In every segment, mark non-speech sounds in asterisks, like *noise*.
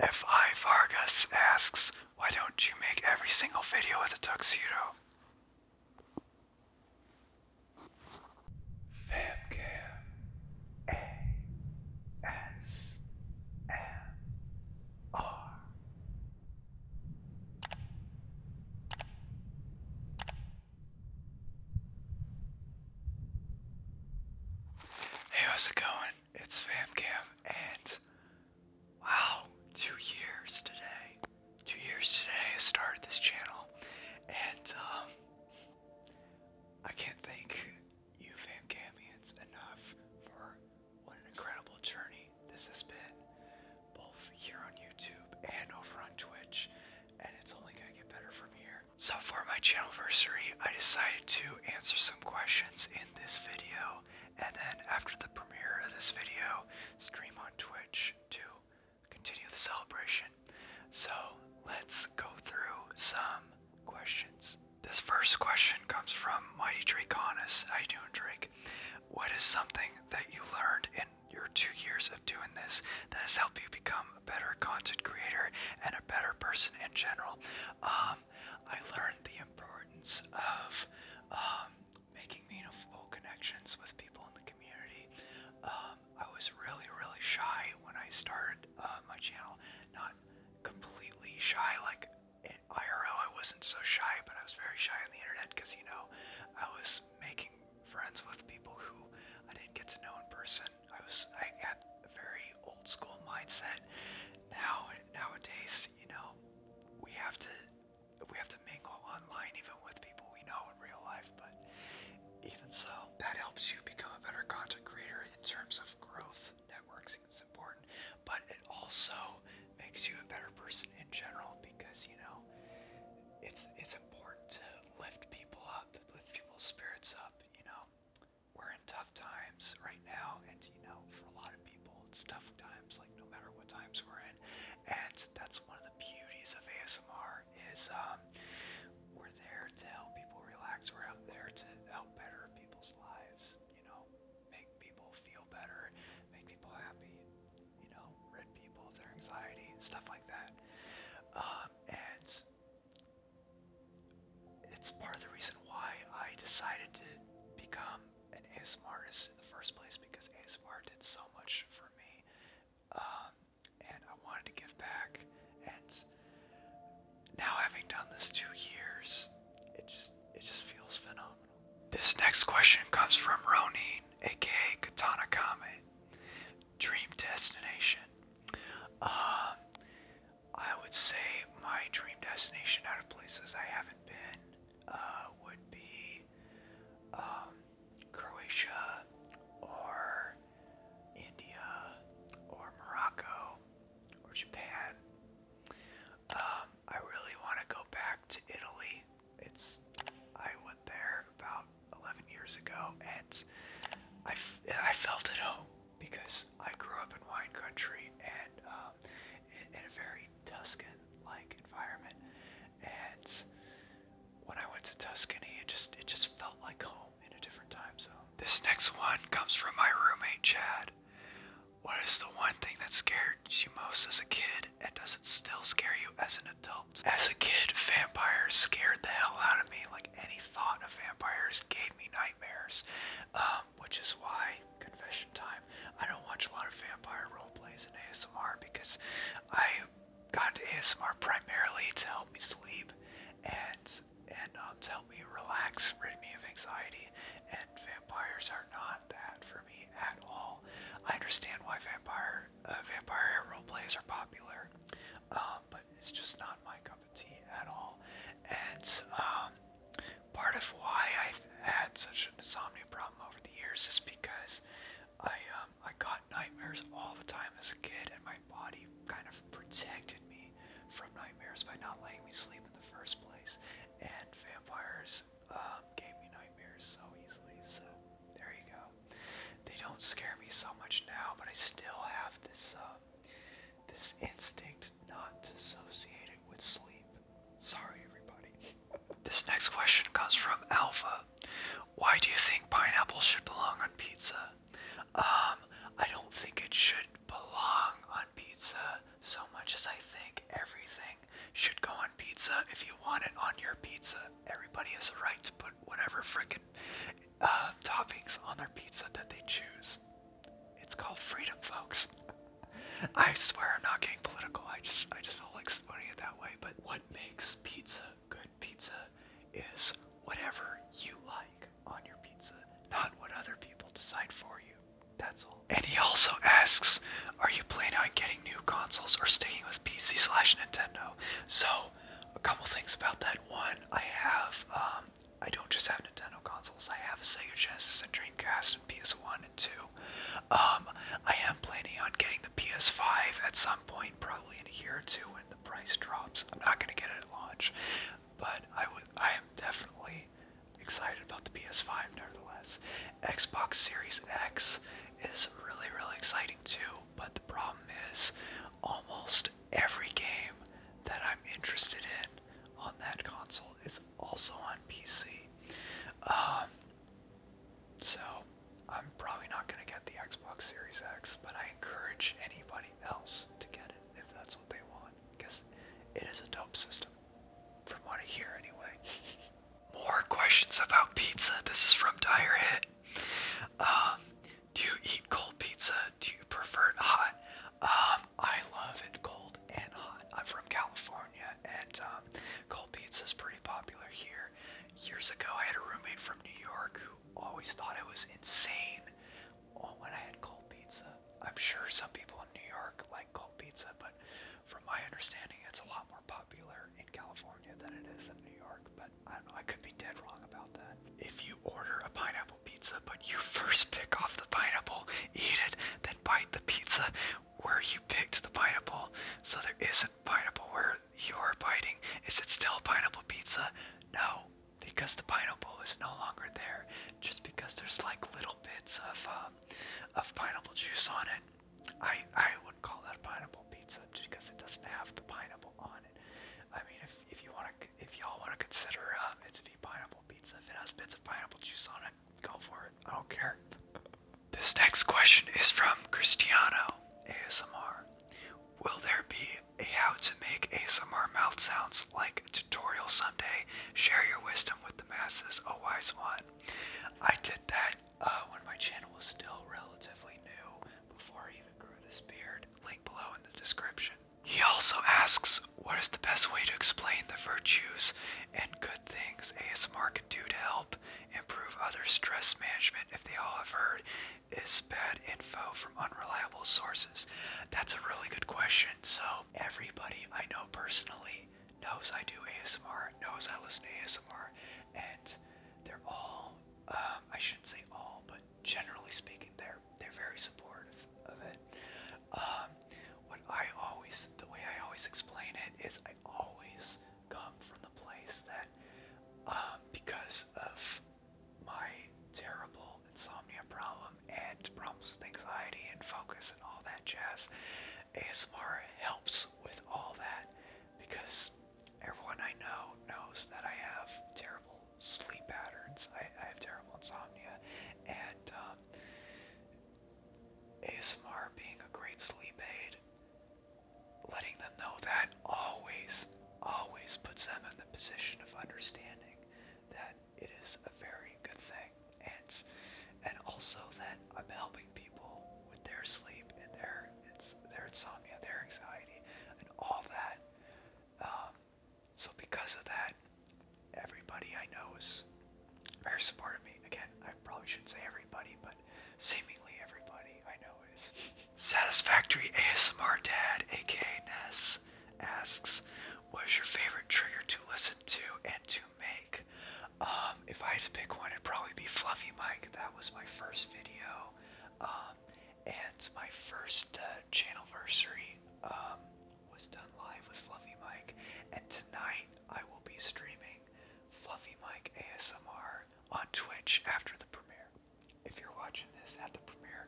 F.I. Vargas asks, why don't you make every single video with a tuxedo? Fabcam A.S.M.R. Hey, how's it going? it's FamCam, and wow, two years today. Two years today I started this channel, and um, I can't thank you FamCamians enough for what an incredible journey this has been, both here on YouTube and over on Twitch, and it's only going to get better from here. So for my channel anniversary, I decided to answer some questions this video, and then after the premiere of this video, stream on Twitch to continue the celebration. So let's go through some questions. This first question comes from Mighty Draconis. How you doing, Drake? What is something that you learned in your two years of doing this that has helped you become a better content creator and a better person in general? Um, I learned the importance of um, making meaningful connections with people in the community. Um, I was really, really shy when I started uh, my channel. Not completely shy, like in IRL, I wasn't so shy, but I was very shy on the internet because, you know, I was making friends with people who I didn't get to know in person. I was, I had a very old school mindset. Now nowadays, you know, we have to we have to mingle online even with people we know in real life, but even so, that helps you become a better content creator in terms of growth. Networking is important, but it also makes you a better person in general because you know it's it's important to lift people up, lift people's spirits up, you know we're in tough times right now, and you know, for a lot of people, it's tough times, like no matter what times we're in. And that's one of the beauties of ASMR is um, we're there to help people relax. We're out there to help better people's lives. You know, make people feel better, make people happy. You know, rid people of their anxiety, stuff like that. Um, and it's part of the reason why I decided to become an ASMR in the first place because ASMR did so much for me. Um, and I wanted to give back. And now having done this two years, it just it just feels phenomenal. This next question comes from Ronin, aka Katana Kame. Dream destination. Um, I would say my dream destination out of places I haven't been uh, would be um, Croatia or India or Morocco or Japan. Um, I really want to go back to Italy. It's I went there about 11 years ago and I, I felt at home because I grew up in wine country and um, in, a very Tuscan-like environment, and when I went to Tuscany, it just it just felt like home in a different time zone. This next one comes from my roommate Chad. What is the one thing that scared you most as a kid, and does it still scare you as an adult? As a kid, vampires scared the hell out of me. Like any thought of vampires gave me nightmares. Um, which is why confession time. I don't watch a lot of vampire role plays in ASMR because I got into ASMR primarily to help me sleep and and um, to help me relax, rid me of anxiety. And vampires are not that for me at all. I understand why vampire uh, vampire role plays are popular, um, but it's just not my cup at all. And um, part of why I've had such an insomnia problem over the years is because I um, I got nightmares all the time as a kid, and my body kind of protected me from nightmares by not letting me sleep in the first place. And vampires um, gave me nightmares so easily. So there you go. They don't scare me so much now, but I still have this. Uh, this instinct not to with sleep. Sorry, everybody. *laughs* this next question comes from Alpha. Why do you think pineapple should belong on pizza? Um, I don't think it should belong on pizza so much as I think everything should go on pizza if you want it on your pizza. Everybody has a right to put whatever frickin' uh, toppings on their pizza that they choose. It's called freedom, folks. *laughs* I swear I'm not getting political. I just I just don't like explaining it that way. But what makes pizza good pizza is whatever you like on your pizza, not what other people decide for you. That's all. And he also asks, are you planning on getting new consoles or sticking with PC slash Nintendo? So a couple things about that. One, I have um I don't just have Nintendo consoles. I have a Sega Genesis and Dreamcast and PS1 and 2. Um, I am planning on getting the PS5 at some point, probably in a year or two when the price drops. I'm not gonna get it at launch, but I would. I am definitely excited about the PS5. Nevertheless, Xbox Series X is really, really exciting too. But the problem is, almost every game that I'm interested in on that console is also on PC. Um, so I'm probably not going to get the Xbox Series X, but I encourage anybody else to get it if that's what they want, because it is a dope system, from what I hear anyway. *laughs* More questions about pizza. This is from Dire Hit. Um, do you eat cold pizza? Do you prefer hot? Um, I love it cold and hot. I'm from California, and um, cold pizza is pretty popular here. Years ago, I had a roommate from New York who always thought I was insane when I had cold pizza. I'm sure some people in New York like cold pizza, but from my understanding, it's a lot more popular in California than it is in New York. But I don't know, I could be dead wrong about that. If you order a pineapple pizza, but you first pick off the pineapple, eat it, then bite the pizza where you picked the pineapple. So there isn't pineapple where you're biting. Is it still pineapple pizza? No, because the pineapple is no longer there. Just because there's like little bits of um, of pineapple juice on it. I I would call that pineapple pizza just because it doesn't have the pineapple on it. I mean, if if you want to, if y'all want to consider um, it's a to be pineapple if it has bits of pineapple juice on it, go for it. I don't care. *laughs* this next question is from Cristiano ASMR. Will there be a how to make ASMR mouth sounds like tutorial someday? Share your wisdom with the masses, a wise one. I did that uh, when my channel was still relatively new before I even grew this beard. Link below in the description. He also asks, What is the best way to explain the virtues and good things ASMR can do to help improve others' stress management if they all have heard is bad info from unreliable sources? That's a really good question. So, everybody I know personally knows I do ASMR, knows I listen to ASMR, and they're all, um, I shouldn't say all, but generally speaking, they're they're very supportive of it. Um, what I always, the way I always explain it is, I always come from the place that um, because of my terrible insomnia problem and problems with anxiety and focus and all that jazz, ASMR helps with all that because everyone I know knows that I have terrible sleep patterns. I, I have terrible insomnia, and um, ASMR being a great sleep aid, letting them know that always, always puts them in the position of understanding that it is a very good thing, and and also that I'm helping people with their sleep and their their insomnia, their anxiety, and all that. Um, so because of that, everybody I know is very supportive of me. Again, I probably shouldn't say everybody, but seemingly everybody I know is. Satisfactory ASMR Dad, aka Ness, asks, "What is your favorite trigger to listen to and to make?" Um, if I had to pick one, it'd probably be Fluffy Mike. That was my first video, um, and my first uh, channel channelversary um, was done live with Fluffy Mike, and tonight I will be streaming Fluffy Mike ASMR on Twitch after the premiere. If you're watching this at the premiere,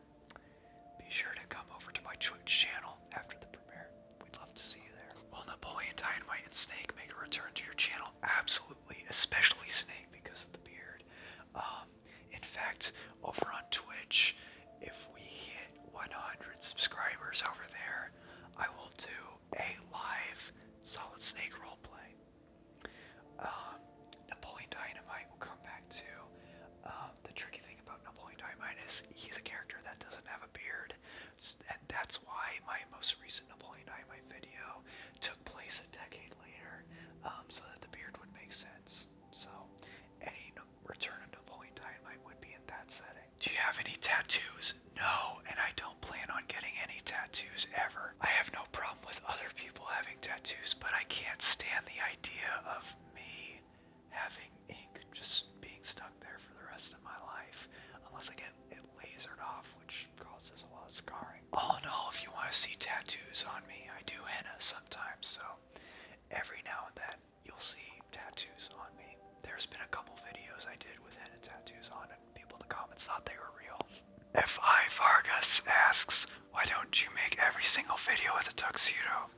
be sure to come over to my Twitch channel after the premiere. We'd love to see you there. Well, Napoleon Dynamite and Snake make a return to your channel, absolutely, especially Snake because of the beard. Um, in fact, over on Twitch, if we hit 100 subscribers over there, I will do a live Solid Snake roleplay. Um, Napoleon Dynamite will come back to. Um, the tricky thing about Napoleon Dynamite is he's a character that doesn't have a beard, and that's why my most recent Napoleon Dynamite video took place a decade later, um, so that the beard would make sense. So, any return of Napoleon Dynamite would be in that setting. Do you have any tattoos? No, and I don't plan on getting any tattoos ever. I have no problem with other people having tattoos, but I can't stand the idea of me having ink just being stuck there for the rest of my life, unless I get it lasered off, which causes a lot of scarring. All in all, if you want to see tattoos on me, I do henna sometimes, so every now and then you'll see tattoos on me. There's been a couple videos I did with head tattoos on, and people in the comments thought they were real. F.I. Vargas asks, why don't you make every single video with a tuxedo?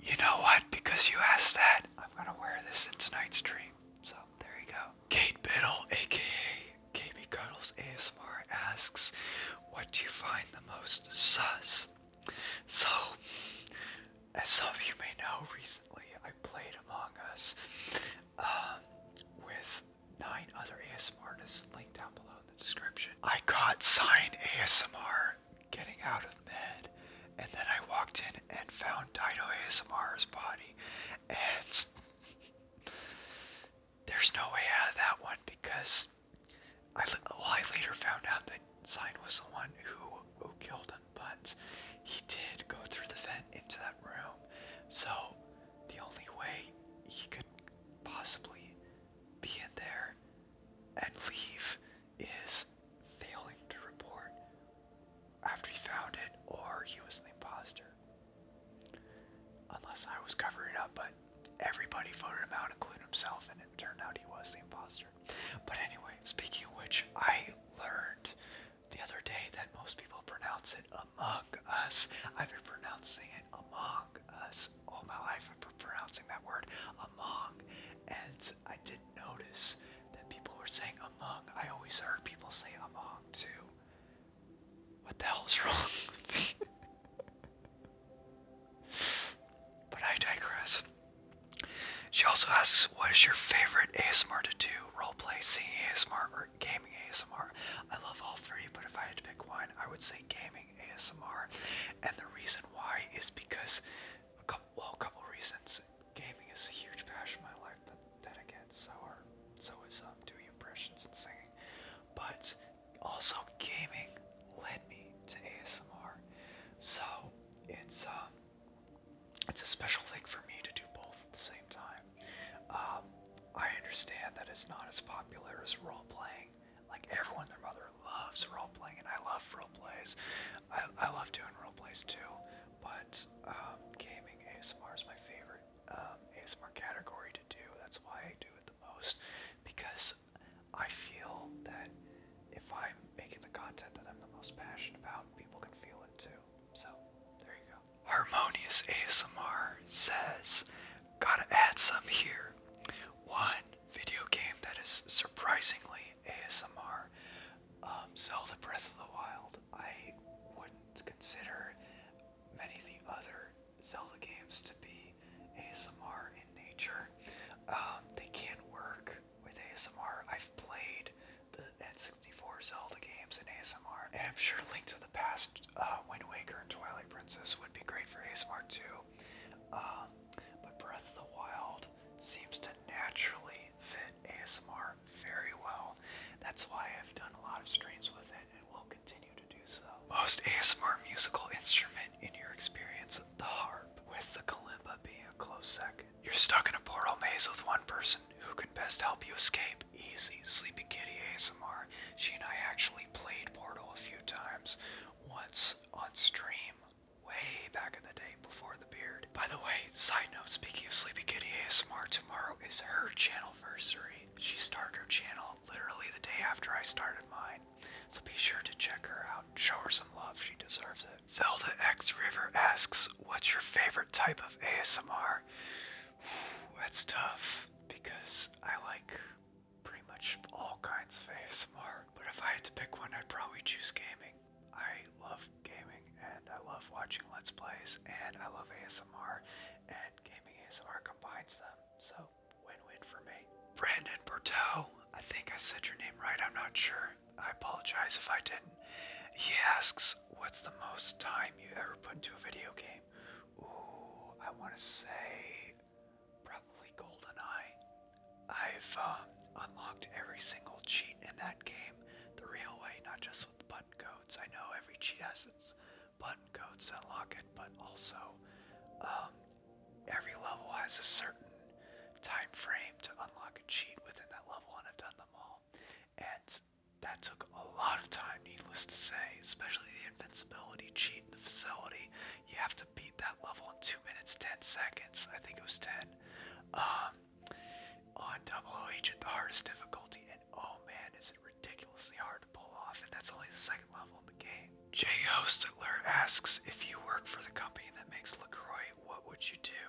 You know what? Because you asked that, I'm gonna wear this in tonight's stream. So there you go. Kate Biddle, aka KB Cuddles ASMR, asks, "What do you find the most sus?" So, as some of you may know, recently I played Among Us um, with nine other ASMR artists. Link down below in the description. I caught sign ASMR getting out of bed, and then I walked in and found Dino ASMR's body, and *laughs* there's no way out of that one because I well I later found out that Sign was the one who who killed him, but he did go through the vent into that room, so the only way he could possibly be in there and leave is failing to report after he found it or he was an imposter. Unless I was covering it up, but everybody voted him out, including himself, and it turned out he was the imposter. But anyway, speaking of which, I learned the other day that most people pronounce it among us. I've been pronouncing it among us all my life. I've pronouncing that word among, and I did not notice that people were saying among. I always heard people say among too. What the hell's *laughs* wrong *laughs* but I digress. She also asks, what is your favorite ASMR to do? Roleplay, singing ASMR, or gaming ASMR? I love all three, but if I had to pick one, I would say gaming ASMR. And the reason why is because, a couple, well, a couple reasons gaming is a huge passion in my life, but then again, so are so is um, doing impressions and singing. But also gaming led me to ASMR. So it's um it's a special thing for me to do both at the same time. Um, I understand that it's not as popular as role playing. Like everyone and their mother loves role playing and I love role plays. I, I love doing role plays too, but um, gaming ASMR is my favorite um, ASMR category to do. That's why I do it the most because I feel that if I'm making the content that I'm the most passionate about, people can feel it too. So there you go. Harmonious ASMR says, gotta add some here. One video game that is surprisingly ASMR. Zelda um, Breath of the Wild, I wouldn't consider many of the other Zelda games to be ASMR in nature. Um, they can work with ASMR. I've played the N64 Zelda games in ASMR, and I'm sure Link to the Past, uh, Wind Waker, and Twilight Princess would be great for ASMR too. Um, but Breath of the Wild seems to naturally fit ASMR very well. That's why I've done a lot of streams with it and will continue to do so. Most ASMR musical instrument in your experience, the harp, with the kalimba being a close second. You're stuck in a portal maze with one person who can best help you escape. Easy, Sleepy Kitty ASMR. She and I actually played Portal a few times, once on stream way back in the day before the beard. By the way, side note, speaking of Sleepy Kitty ASMR, tomorrow is her channelversary. She started her channel literally the day after I started mine. So be sure to check her out. Show her some love, she deserves it. Zelda X River asks, what's your favorite type of ASMR? *sighs* that's tough because I like pretty much all kinds of ASMR. But if I had to pick one, I'd probably choose gaming. I love gaming and I love watching Let's Plays and I love ASMR and gaming ASMR combines them. So win-win for me. Brandon Berteau, I think I said your name right, I'm not sure. I apologize if I didn't. He asks, what's the most time you ever put into a video game? Ooh, I wanna say probably GoldenEye. I've uh, unlocked every single cheat in that game the real way, not just with the button codes. I know every cheat has its button codes to unlock it, but also um, every level has a certain time frame to unlock a cheat within that level, and I've done them all. And that took a lot of time, needless to say, especially the invincibility cheat in the facility. You have to beat that level in 2 minutes 10 seconds. I think it was 10. Um, on oh, Double OH at the hardest difficulty, and oh man, is it ridiculously hard to pull off, and that's only the second level in the game. Jay Hostler asks, if you work for the company that makes LaCroix, what would you do?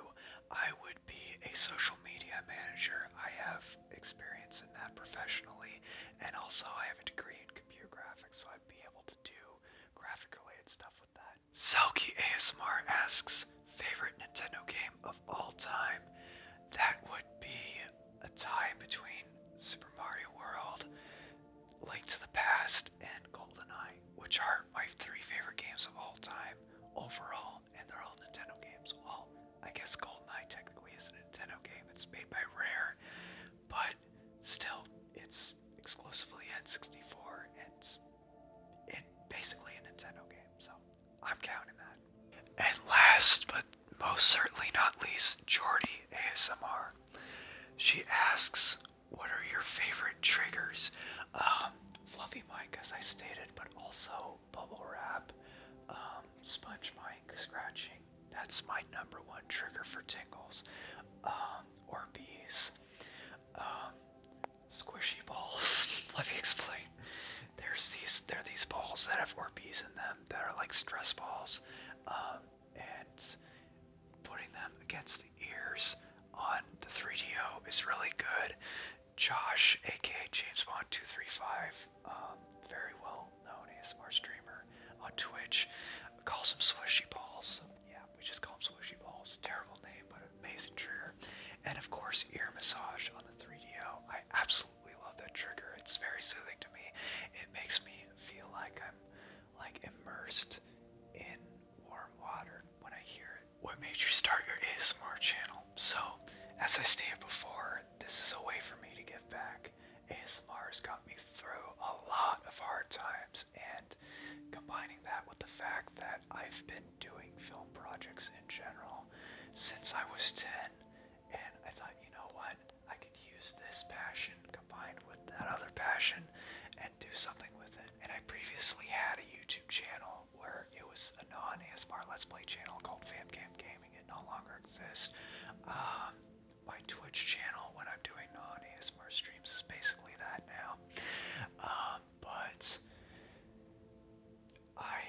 I would be a social media manager. I have experience in that professionally, and also I have a degree in computer graphics, so I'd be able to do graphic related stuff Selkie ASMR asks, favorite Nintendo game of all time? That would be a tie between Super Mario World, Link to the Past, and Golden Eye, which are my three favorite games of all time overall, and they're all Nintendo games. Well, I guess Golden Eye technically is a Nintendo game. It's made by Rare, but still, it's exclusively at 64 and in basically a Nintendo game, so I'm counting that. And last but most certainly not least, Jordy ASMR. She asks, What are your favorite triggers? Um, fluffy mic, as I stated, but also bubble wrap, um, sponge mic, scratching. That's my number one trigger for tingles um, or bees. Um, squishy balls. *laughs* Let me explain. There's these there are these balls that have Orbeez in them that are like stress balls. Um, and putting them against the ears on the 3DO is really good. Josh, aka James Bond 235, um, very well known ASMR streamer on Twitch, calls them squishy balls. Yeah, we just call them squishy balls. Terrible name, but amazing trigger. And of course, ear massage on the 3DO. I absolutely love that trigger. It's very soothing to me. It makes me feel like I'm like immersed in warm water when I hear it. What made you start your ASMR channel? So, as I stated before, this is a way for me to give back. ASMR has got me through a lot of hard times and combining that with the fact that I've been doing film projects in general since I was 10, and I thought, you know what, I could use this passion combined with that other passion and do something with it. And I previously had a YouTube channel where it was a non ASMR Let's Play channel called FamCam Gaming. It no longer exists. Um, my Twitch channel when I'm doing non ASMR streams is basically that now. Um, but I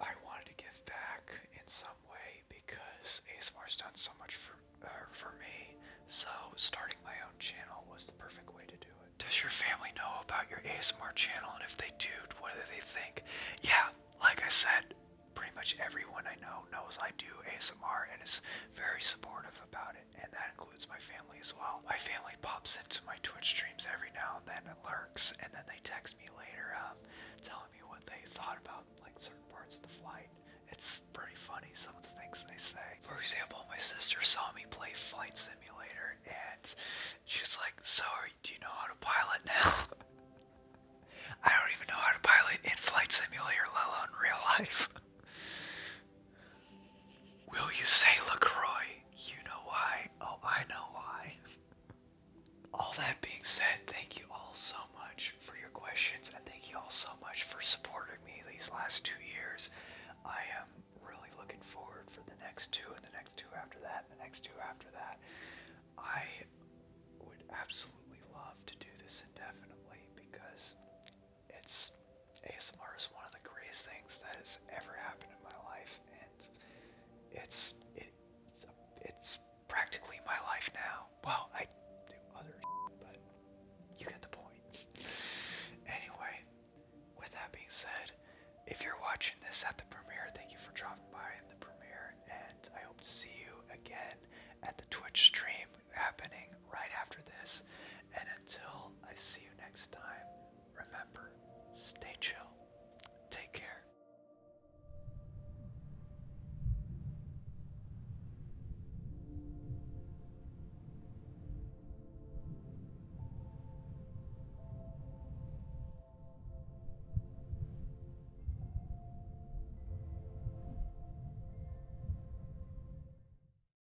I wanted to give back in some way because ASMR's done so much for uh, for me. So starting my own channel was the perfect way to do it. Does your family know about your ASMR channel and if they do, what do they think? Yeah, like I said, pretty much everyone I know knows I do ASMR and is very supportive about it and that includes my family as well. My family pops into my Twitch streams every now and then and lurks, and then they text me later um, telling me what they thought about like certain parts of the flight. It's pretty funny some of the things they say. For example, my sister saw me play Flight Simulator, and she's like, "So, do you know how to pilot now?" *laughs* I don't even know how to pilot in Flight Simulator, let alone real life. *laughs* Will you say LaCroix? You know why. Oh, I know why. All that being said, thank you all so much for your questions and thank you all so much for supporting me these last two years. I am really looking forward for the next two and the next two after that and the next two after that. I would absolutely love to do this indefinitely because it's ASMR is one of the greatest things that has ever happened in my life, and it's it it's practically my life now. Well, I do other, *laughs* but you get the point. *laughs* anyway, with that being said, if you're watching this at the premiere, thank you for dropping by in the premiere, and I hope to see you again at the Twitch stream happening right after this. And until I see you next time, remember, stay chill, take care.